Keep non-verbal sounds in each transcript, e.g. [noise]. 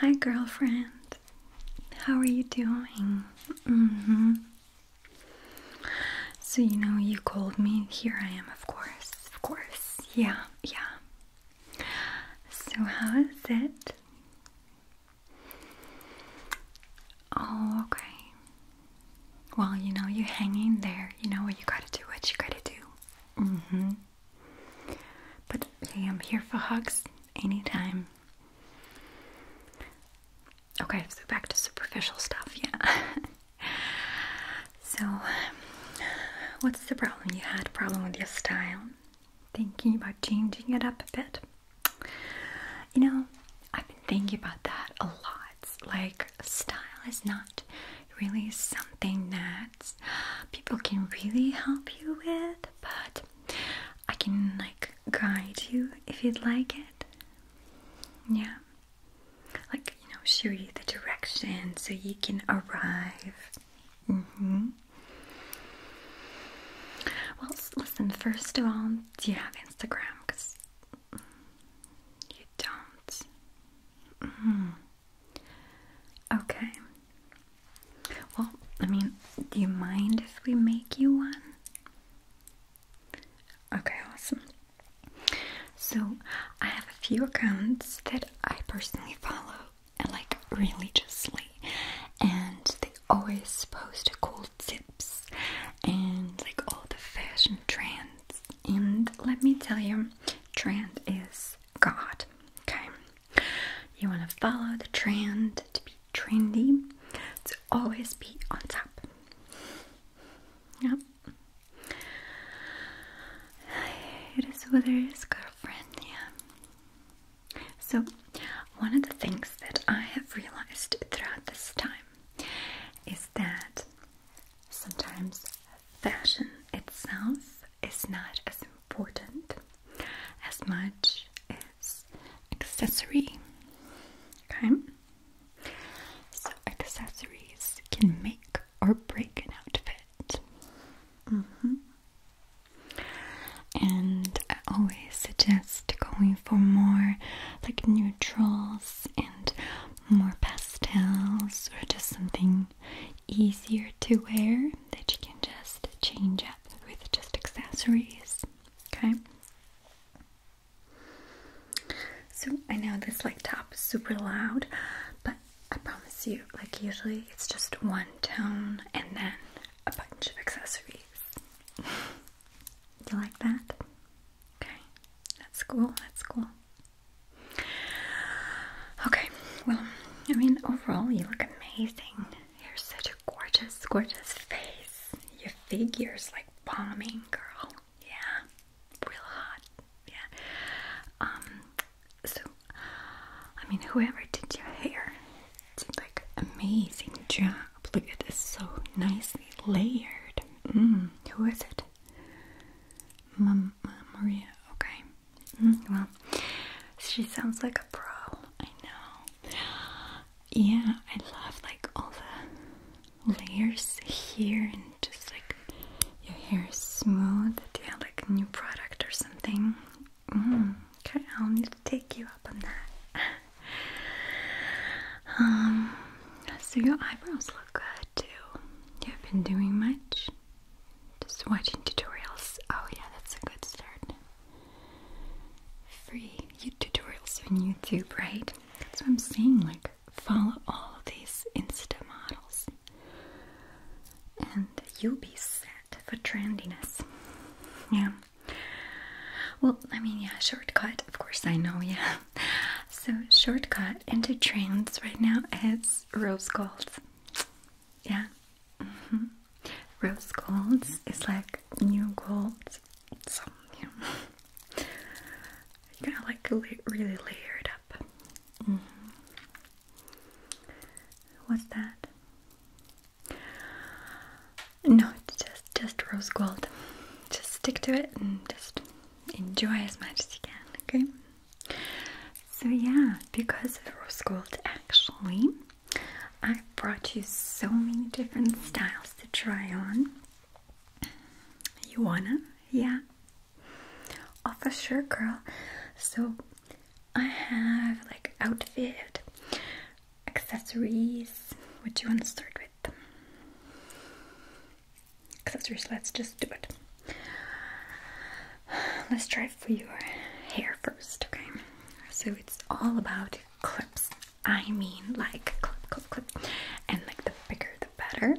Hi, girlfriend. How are you doing? Mm-hmm. So, you know, you called me. Here I am, of course. Of course. Yeah, yeah. So, how is it? Oh, okay. Well, you know, you are hanging there. You know what you gotta do, what you gotta do. Mm hmm. But hey, I'm here for hugs anytime. Okay, so back to superficial stuff, yeah. [laughs] so, what's the problem? You had a problem with your style. Thinking about changing it up a bit. You know, I've been thinking about that a lot. Like, style is not really something that people can really help you with, but I can like guide you if you'd like it. Yeah. Like, you know, show you the direction so you can arrive. Mm-hmm. Well, listen, first of all, do you have Instagram? Because you don't. Mm. Okay. Well, I mean, do you mind if we make you one? Okay, awesome. So, I have a few accounts that I personally follow, and like religiously, and they always post cool tips and like all the fashion trends and let me tell you, trend is God. Okay, you want to follow the trend to be trendy, to always be on top. Yep. It is what it is, girlfriend. Yeah. So, one of the things that I have realized throughout this time is that sometimes fashion itself is not as important as much as accessory. Okay? So, accessories can make or break an outfit. Mm-hmm. And I always suggest going for more like neutrals and more pastels or just something easier to wear that you can just change up with just accessories. Okay. So I know this like top is super loud, but I promise you, like usually it's just one tone and then a bunch of accessories. [laughs] Do you like that? Okay, that's cool, that's cool. Okay, well, I mean, overall, you look amazing. You're such a gorgeous, gorgeous face. Your figure's like bombing, girl. Yeah, real hot. Yeah. Um, so, I mean, whoever did your hair did like amazing job. Look at this, so nicely layered. Mm, who is it? Mom, Maria. Okay. Mm-hmm. Mm-hmm. Well, she sounds like a pro. I know. Yeah, I love like all the layers here and just like your hair is smooth. Yeah, like a new product or something. Mm-hmm. Okay, I'll need to take you up on that. [laughs] Um, so your eyebrows look good too. You have been doing much? Just watching tutorials. Oh yeah, that's a good start. Free tutorials on YouTube, right? That's what I'm saying. Like follow all of these Insta models. And you'll be set for trendiness. Yeah. Well, I mean, yeah, shortcut. Of course, I know, yeah. [laughs] so shortcut into trends right now is rose gold. Yeah. Mm-hmm. Rose gold is like new gold. So you know, you gotta like really layer it up. Mm-hmm. What's that? No, it's just just rose gold. Just stick to it and just enjoy as much as you can, okay? So, yeah, because of rose gold, actually, I brought you so many different styles to try on. You wanna? Yeah. Oh, for sure, girl. So, I have like outfit, accessories. What do you want to start with? accessories let's just do it let's try for your hair first okay so it's all about clips i mean like clip clip clip and like the bigger the better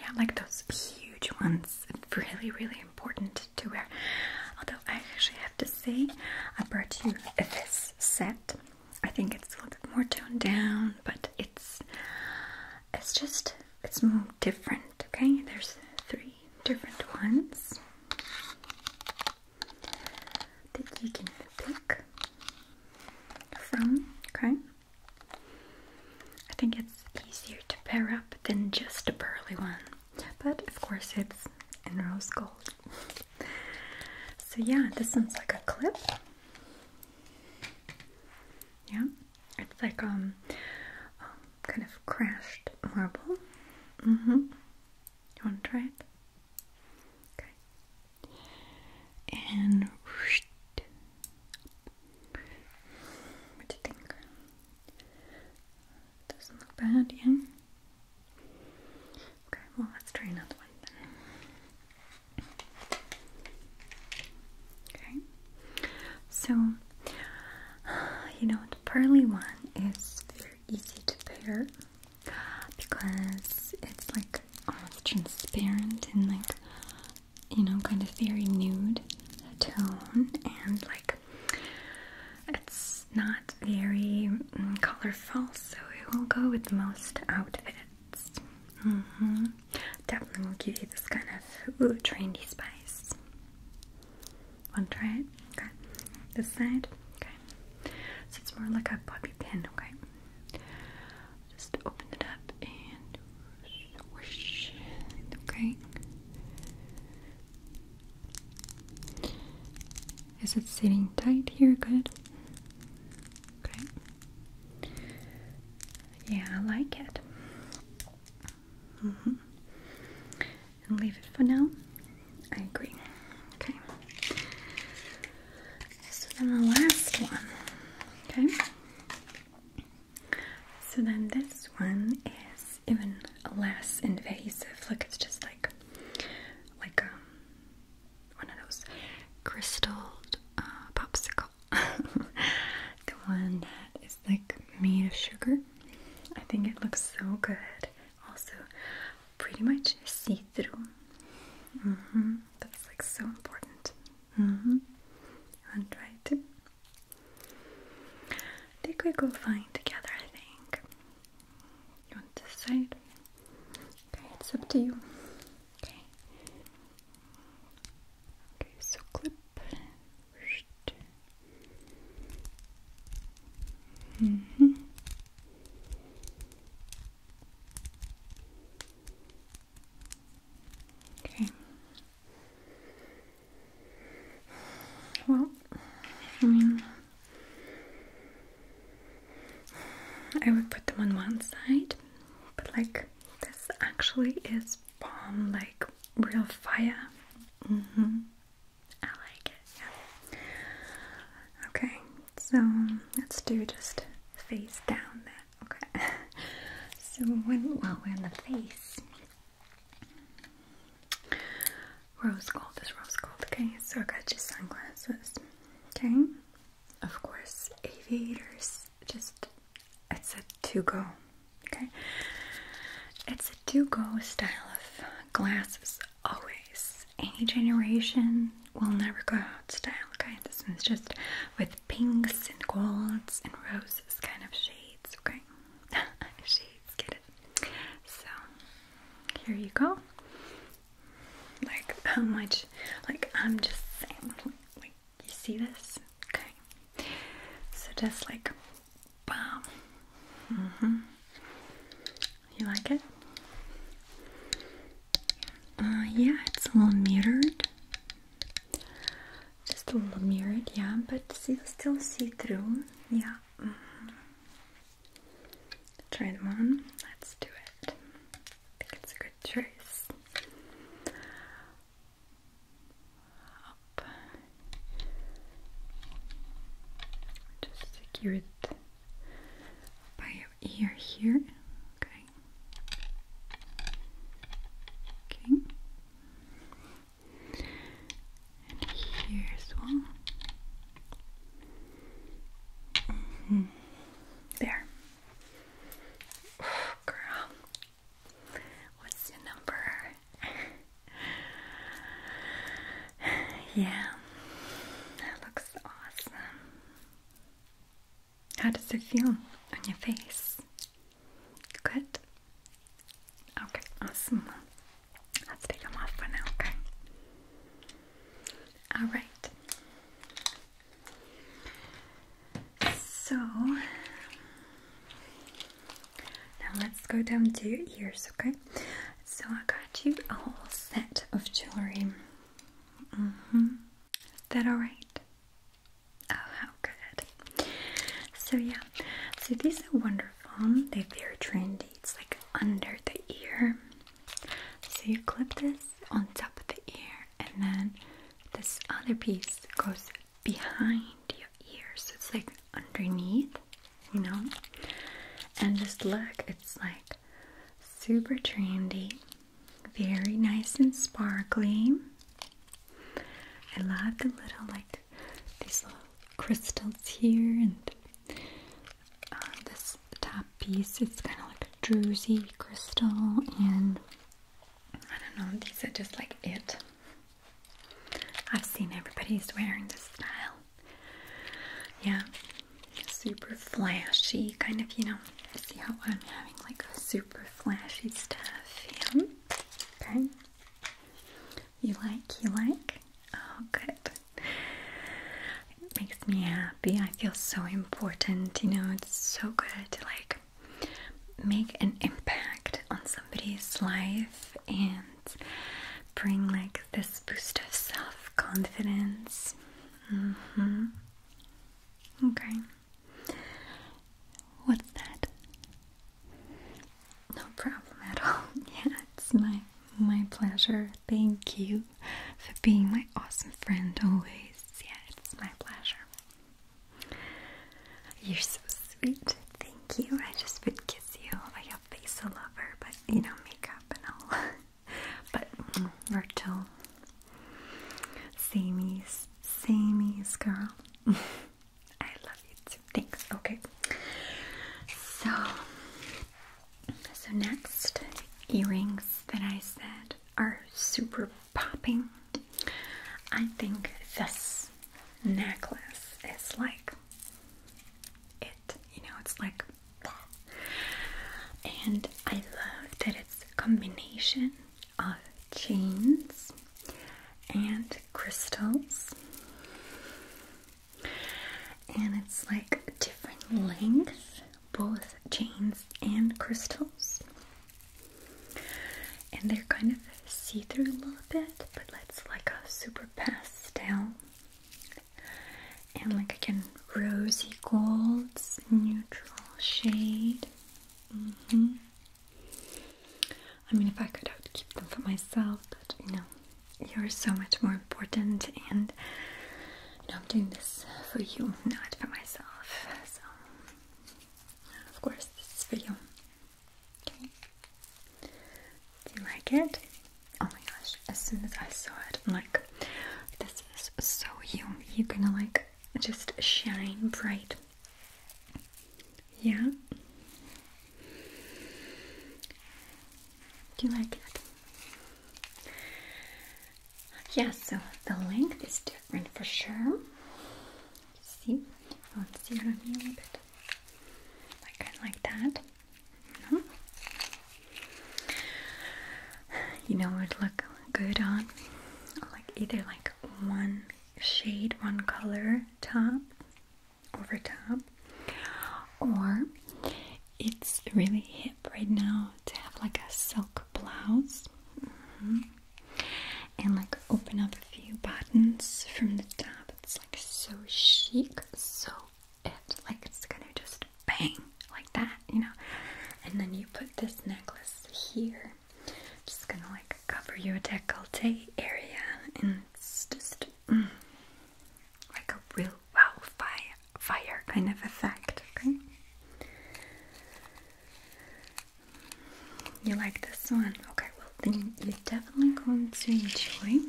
yeah like those huge ones really really important to wear although i actually have to say i brought you this set I think it's a little bit more toned down, but it's it's just it's different. Okay, there's three different ones that you can pick from. Okay, I think it's easier to pair up than just a pearly one, but of course it's in rose gold. So yeah, this one's like a clip. Yeah, it's like um, kind of crashed marble. Mm-hmm. You want to try it? Okay. And what do you think? Doesn't look bad, yeah. Okay, well, let's try another one Okay, so [sighs] you know, the pearly one is very easy to pair because it's like almost transparent and like you know, kind of very nude tone and like it's not very mm, colorful so it will go with most outfits. Mm-hmm. Definitely will give you this kind of trendy spice. Want to try it? Okay. This side? Okay. So it's more like a bobby pin, okay? Just open it up and swish. Okay. Is it sitting tight here? Good. Great. Yeah, I like it. Mm-hmm. And leave it for now. I agree. Okay. So then the last one. Okay. So then this one is even less invasive. Look, it's just like like a um, one of those crystalled uh, popsicle. [laughs] the one that is like made of sugar. I think it looks so good. Also, pretty much see through. Mm-hmm. That's like so important. want mm-hmm. to try it I think we go fine together, I think. You want this side? Okay, it's up to you. Okay. Okay, so clip. -hmm. Okay. Well, I mean I would put them on one side, but like this actually is bomb, like real fire. Mm hmm I like it. Yeah. Okay, so let's do just face down there. Okay. [laughs] so when well we're in the face. Rose gold is rose gold. Okay, so I got you sunglasses. Okay, of course, aviators. Just it's a to go. Okay, it's a to go style of glasses always. Any generation will never go out style. Okay, this one's just with pinks and golds and roses kind of shades. Okay, [laughs] shades, get it. So here you go. Like how much? Like I'm just saying. Like you see this? Okay. So just like, bam. hmm. You like it? Uh, yeah, it's a little mirrored. Just a little mirrored, yeah. But see, still see through. Yeah. Mm-hmm. Try them on. Let's do it. I think it's a good choice. Just secure it by your ear here. Okay. Okay. And here as well. There. Oh, girl. What's your number? yeah. That looks awesome. How does it feel on your face? Good. Okay, awesome. Let's take them off for now, okay? Alright. So now let's go down to your ears, okay? So I got you a set of jewelry. -hmm. that alright? Oh, how good. So, yeah, so these are wonderful. They're very trendy. It's like under the ear, so you clip this on top of the ear, and then this other piece goes behind your ear, so it's like underneath, you know. And just look, it's like super trendy, very nice and sparkly. I love the little like these little crystals here and um, this top piece. It's kind of like a druzy crystal, and I don't know, these are just like it. I've seen everybody's wearing this style. Yeah, super flashy, kind of, you know, see how I'm having like a super flashy stuff. Okay. You like, you like? Oh, good it makes me happy. I feel so important, you know, it's so good to like make an impact on somebody's life and bring like this boost of self confidence. Mm hmm. Okay. What's that? No problem at all. [laughs] Yeah, it's my my pleasure. Thank you for being my awesome friend always. Yeah, it's my pleasure. You're so sweet. Thank you. I just would kiss you. I have face a lover, but you know, makeup and all. [laughs] but mm, Virgil. Samies. Samies, girl. [laughs] I love you too. Thanks. Okay. So so, next, earrings that I said are super popping. I think this necklace is like it, you know, it's like and I love that it's a combination of chains and crystals and it's like different lengths, both chains and crystals. And they're kind of see-through a little bit, but it's like a super pastel. And like again, rosy golds, neutral shade. Mm-hmm. I mean, if I could, have kept them for myself, but you know, you're so much more important, and I'm doing this for you, not for myself. So, of course, this is for you. Okay. Do you like it? Oh my gosh, as soon as I saw it, I'm like, this is so you. You're gonna like just shine bright. Yeah? Do you like it? Yeah, so the length is different for sure. See, I'll zero me a little bit. Like kind of like that. Mm -hmm. You know what would look good on? Like either like one shade, one color top over top, or it's really hip right now to have like a silk blouse mm-hmm. and like open up a few buttons from the top. It's like so chic, so it like it's gonna just bang like that, you know. And then you put this necklace here, just gonna like cover your decollete area, and it's just Mm. like a real wow fire kind of effect. Okay, you like this one? Okay, well then you're definitely going to enjoy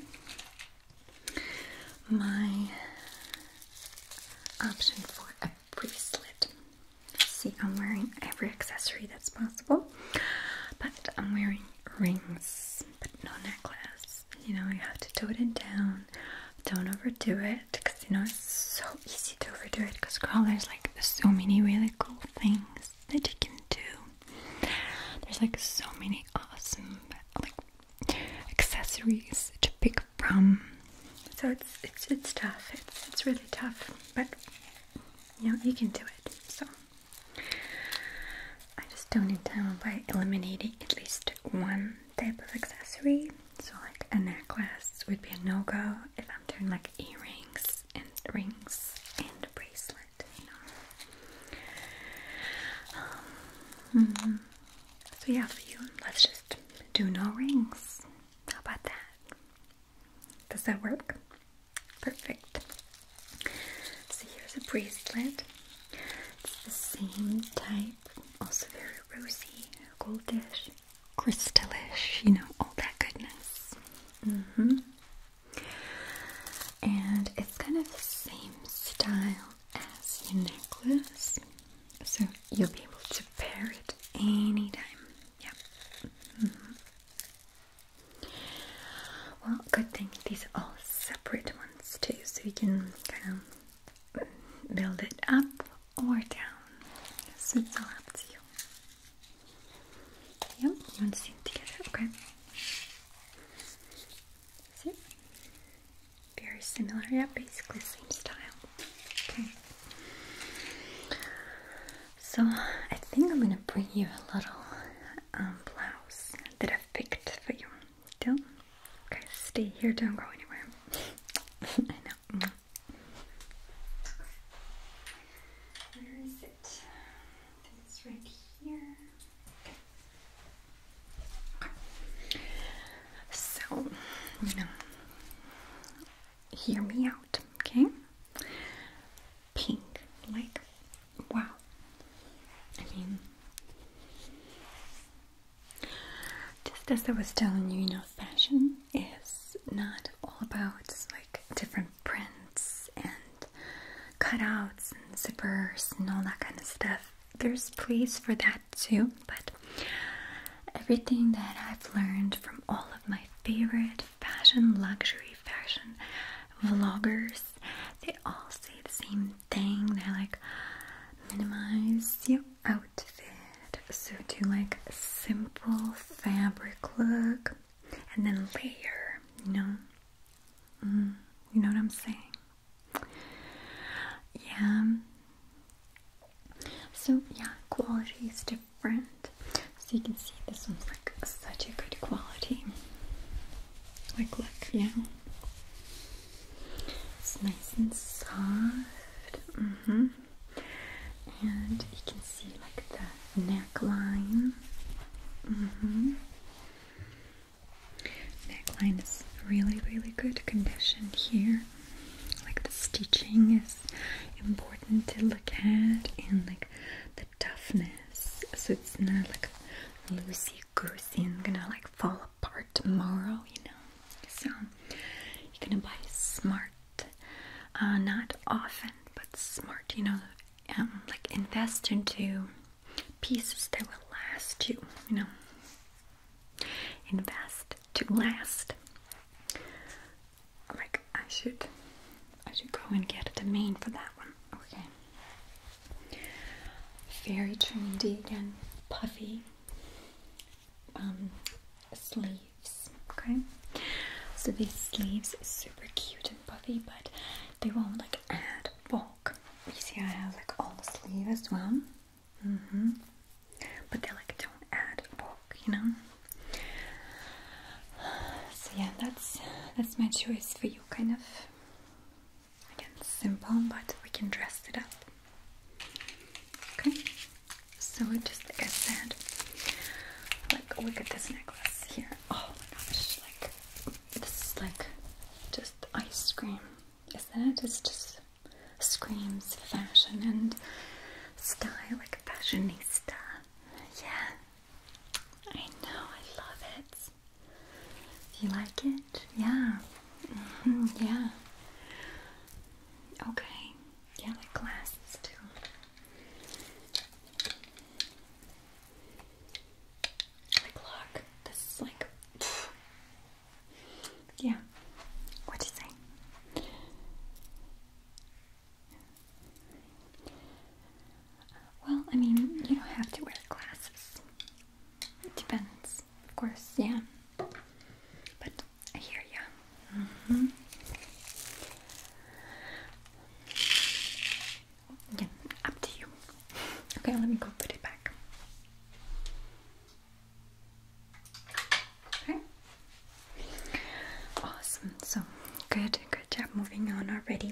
my option for a bracelet. See, I'm wearing every accessory that's possible, but I'm wearing rings, but no necklace you know, you have to tone it down. Don't overdo it because you know it's so easy to overdo it because girl, there's like so many really cool things that you can do. There's like so many awesome like accessories to pick from. So it's it's it's tough. It's it's really tough, but you know you can do it. So I just don't it down by eliminating at least one type of accessory. So, like a necklace would be a no go if I'm doing like earrings and rings and a bracelet, you know. Um, mm-hmm. So, yeah, for you, let's just do no rings. How about that? Does that work? Perfect. So here's a bracelet. It's the same type, also very rosy, goldish, crystalish, you know, all that goodness. Mm-hmm. And it's kind of the same style as your necklace. So you'll be able to pair it anytime. Yeah. Mm-hmm. Well, good thing these are all separate ones too, so you can kind of build it up or down. So it's all up to you. Yep, you want to see it together? Okay. See? Very similar, yeah, basically same style. Okay. So I think I'm gonna bring you a little um, blouse that i picked for you. Don't. Okay, stay here, don't go anywhere. [laughs] I know. Mm. Where is it? it's right here. Okay. So, you know, hear me out, okay? pink. Like, wow. I mean, just as I was telling you, you know, fashion is not all about like different prints and cutouts and zippers and all that kind of stuff. There's place for that too, but everything that I've learned from all of my favorite fashion, luxury fashion vloggers they all say the same thing. They're like, minimize your outfit. So do like simple fabric look and then layer, you know? Mm, you know what I'm saying? Yeah. So yeah, quality is different. So you can see this one's like such a good quality. Like look, yeah. It's nice and soft. Mm-hmm. And you can see like the neckline. Mm-hmm. Neckline is really, really good condition here. Like the stitching is important to look at and like the toughness so it's not like loosey goosey and gonna like fall apart tomorrow, you know. So you're gonna buy smart, uh, not often, but smart, you know, um, like invest into pieces that will last you, you know. Invest to last. Like I should I should go and get a domain for that one. Okay. Very trendy again. Puffy um, sleeves. Okay. So these sleeves super cute and puffy, but they won't like add bulk. You see, I have like all the sleeve as well. hmm But they like don't add bulk, you know. So yeah, that's that's my choice for you kind of again simple but we can dress it up okay so just like I said like look at this necklace here oh my gosh like this is like just ice cream isn't it it's just screams fashion and style like a fashionista yeah I know, I love it. you like it? Yeah. Mm-hmm, yeah. Okay. Yeah, like glasses too. Like look, this is like Yeah. What do you say? Well, I mean, you don't have to wear glasses. It depends, of course, yeah. But I hear ya. Mm -hmm. Again, up to you. Okay, let me go put it back. Okay. Awesome. So, good, good job moving on already.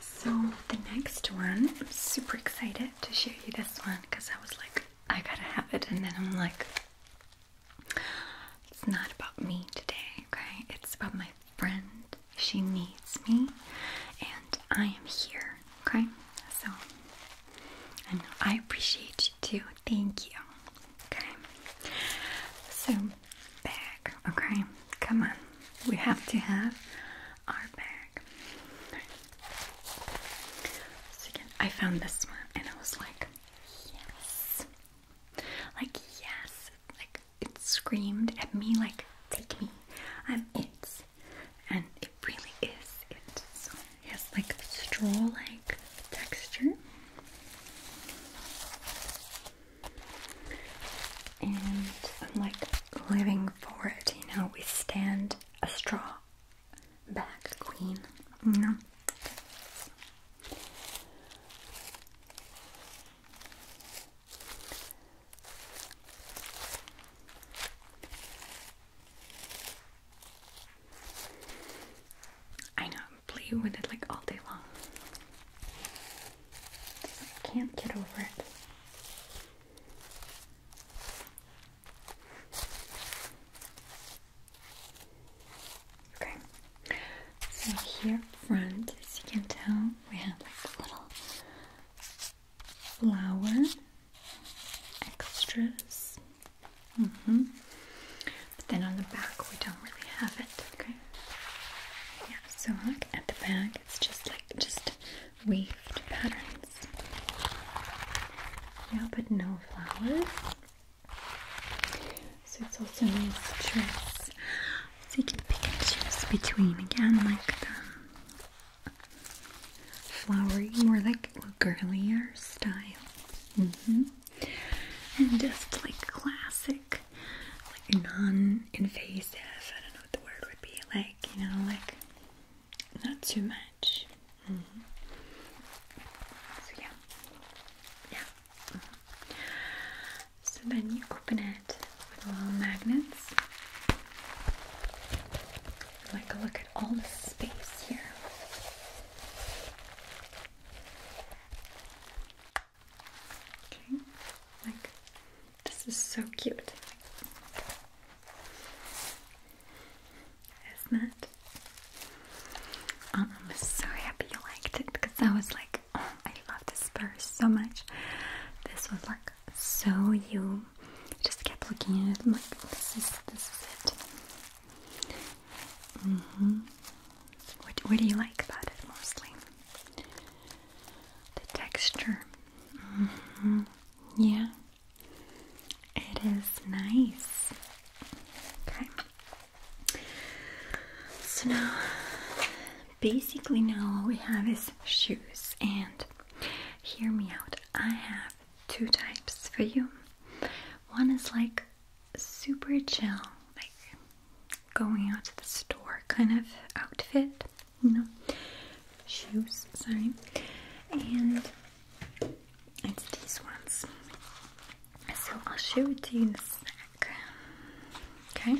So the next one, I'm super excited to show you this one because I was like, I gotta have it, and then I'm like, it's not about me today, okay? It's about my friend. She needs me, and I am here, okay? So I I appreciate you too. Thank you. Okay. So bag, okay? Come on, we have to have our bag. I found this one and I was like, yes. Like, yes. Like, it screamed at me, like, take me. I'm it. And it really is it. So it like straw like texture. And I'm like living for it, you know, we stand a straw back queen, you I know, I'm playing with it like all day long. I can't get over it. Okay, so here front, as you can tell, we have like a little flower extras. Mm -hmm. But then on the back, we don't really have it. Okay. Yeah. So look at the back. It's just like just waved patterns. Yeah, but no flowers. So it's also nice choice. So you can pick and choose between again, like the flowery, more like girlier style. Mm -hmm and just like classic, like non-invasive. I don't know what the word would be. Like you know, like not too much. Mm-hmm. So yeah, yeah. Mm-hmm. So then you open it with little magnets. Like look at all the space here. Okay, like this is so cute, isn't it? Um, I'm so happy you liked it because I was like, oh, I love this purse so much. This was like so you. Just kept looking at it. like, this is this is it. Mm-hmm. what, what do you like about it mostly? The texture. Mm-hmm. Yeah, it is nice. Okay. So now, basically, now all we have is shoes. And hear me out, I have two types for you. One is like super chill, like going out to the store kind of outfit, you know, shoes, sorry, and it's these ones. So I'll show it to you in a sec. Okay.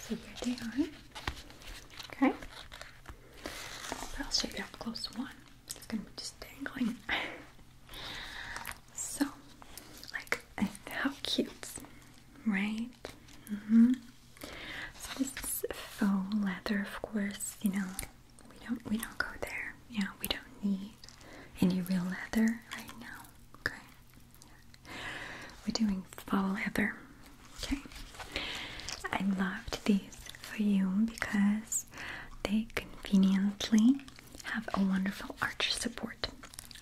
So here they are. Okay. I'll show you up close one. It's gonna be just dangling. [laughs] So, like, how cute, right? Mm -hmm. So this is faux leather, of course. You know, we don't we don't go there. Yeah, we don't need any real leather right now. Okay, we're doing faux leather. Okay, I loved these for you because they conveniently have a wonderful arch support.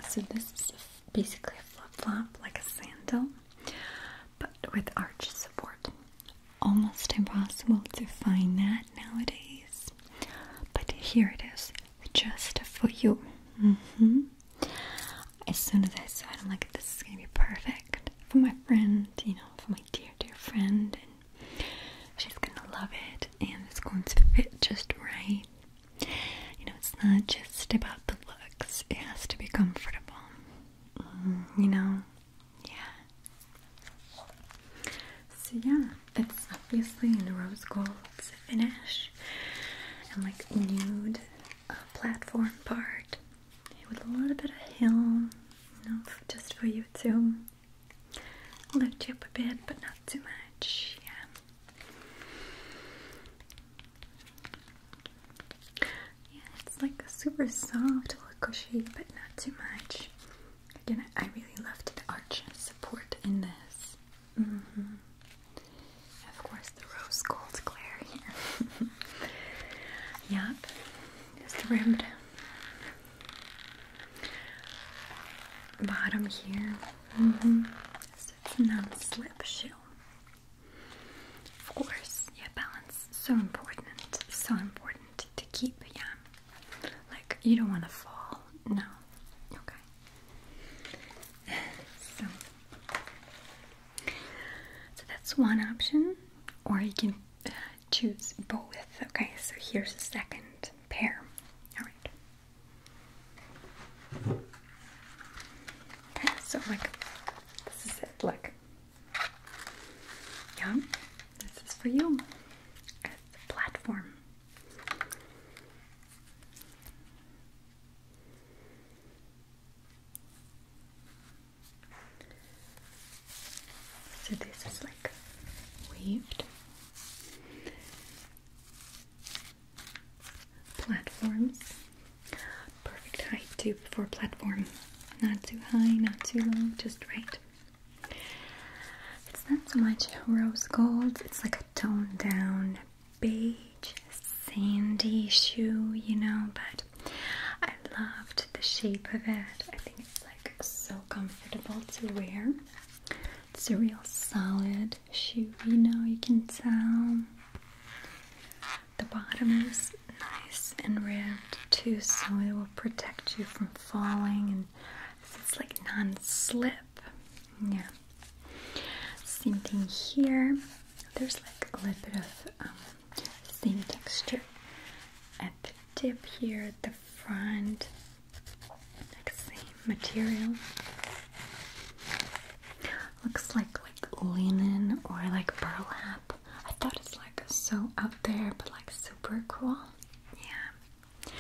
So this is basically a flip-flop, like a sandal, but with arch support. Almost impossible to find that nowadays, but here it is, just for you. -hmm. As soon as I saw it, I'm like, this is gonna be perfect for my friend, you know, for my dear, dear friend, and She's gonna love it and it's going to fit just right. You know, it's not just about the looks, it has to be comfortable. Mm, you know? Yeah. So, yeah, it's obviously in the rose gold finish and like nude uh, platform part with a little bit of heel, just for you too. Lift you up a bit, but not too much. Yeah. Yeah, it's like a super soft, little cushy, but not too much. Again, I really love the arch support in this. Mm -hmm. Of course, the rose gold glare here. [laughs] yep, just rimmed bottom here. Mm -hmm. So non-slip shoe. Of course, yeah, balance so important, so important to keep. Yeah, like you don't want to fall. No. Okay. [laughs] so, so that's one option, or you can uh, choose both. Okay, so here's the second pair. All right. so like this is it. Look. Yeah, this is for you as the platform. So this is like waved platforms. Perfect height too for platform. Not too high, not too low, just right. It's not so much rose gold, it's like a toned down beige, sandy shoe, you know, but I loved the shape of it. I think it's like so comfortable to wear. It's a real solid shoe, you know, you can tell. The bottom is nice and ribbed too, so it will protect you from falling and it's like non-slip. Yeah. Same thing here. There's like a little bit of um, same texture at the tip here, at the front same material looks like like linen or like burlap I thought it's like so out there but like super cool yeah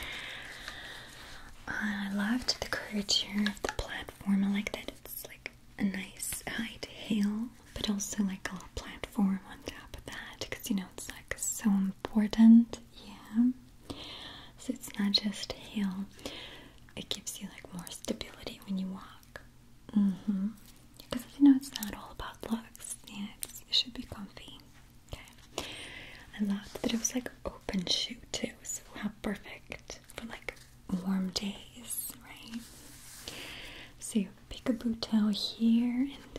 I loved the curvature of the platform I like that it's like a nice height hill but also like a little platform on top of that because you know it's like so important. Yeah. So it's not just heel. It gives you like more stability when you walk. Mm-hmm. Because you know it's not all about looks. Yeah, it should be comfy. Okay. I love that it was like open shoe too. So how perfect for like warm days, right? So Pick peekaboo towel here, and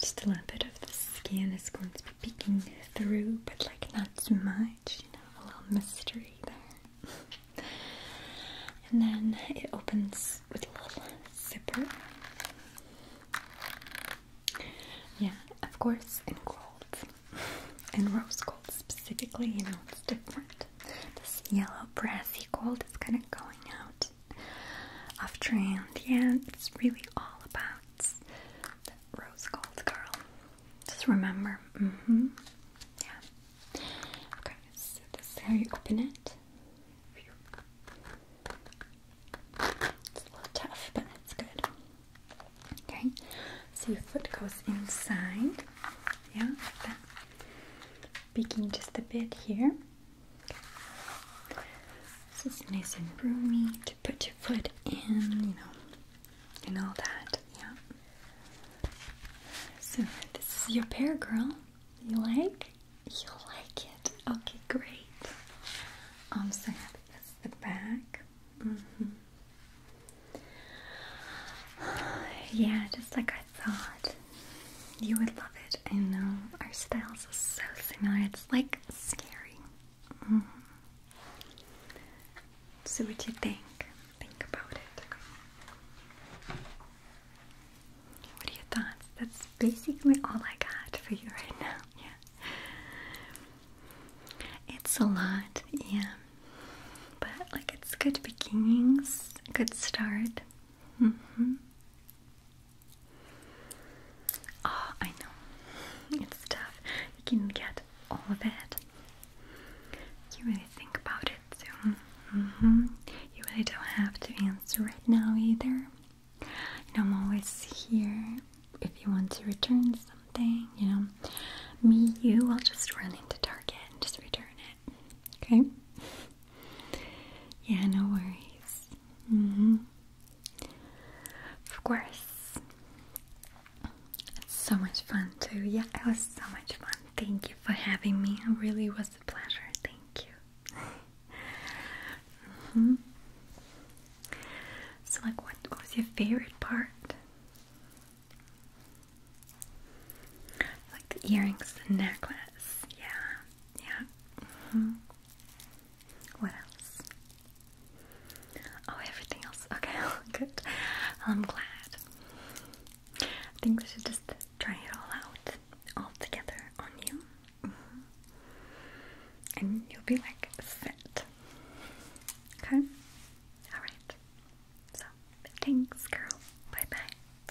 just a little bit of the skin is going to be peeking through, but like not too much, you know, a little mystery there. and then it opens with a little zipper. Yeah, of course, in gold, in rose gold specifically, you know, it's different. This yellow brassy gold is kind of going out off trend. Yeah, it's really all about that rose gold girl. Just remember. Mm-hmm. Yeah. Okay, so this is how you open it. It's a little tough, but it's good. Okay, so your foot goes inside. Yeah, Peeking just a bit here. This is nice and roomy to put your foot in, you know, and all that. Yeah. So this is your pair, girl. You like? You like it? Okay, great. I'm so happy. This is the back. Mm-hmm. [sighs] Yeah, just like I thought. You would love it. I know. Our styles are so similar. It's like scary. Mm-hmm. So, what do you think? Think about it. What are your thoughts? That's basically all I got for you right now. [laughs] Yeah. It's a lot, yeah. But, like, it's good beginnings, good start. Mm -hmm. Oh, I know. It's tough. You can get all of it. You really think about it soon. Mm-hmm. You really don't have to answer right now either. You I'm always here if you want to return something. You know, me, you, I'll just run into Target and just return it. Okay? yeah, no worries. -hmm. Of course. so much fun too. Yeah, it was so much fun. Thank you for having me. It really was a pleasure. Thank you. -hmm. So, like, what, was your favorite part? Like the earrings, the necklace. Yeah, yeah. -hmm. What else? Oh, everything else. [laughs] Okay, [laughs] good. I'm glad. I think we should just try it all out, all together on you. Mm-hmm. And you'll be like fit. Okay? Alright. So, thanks, girl. Bye bye.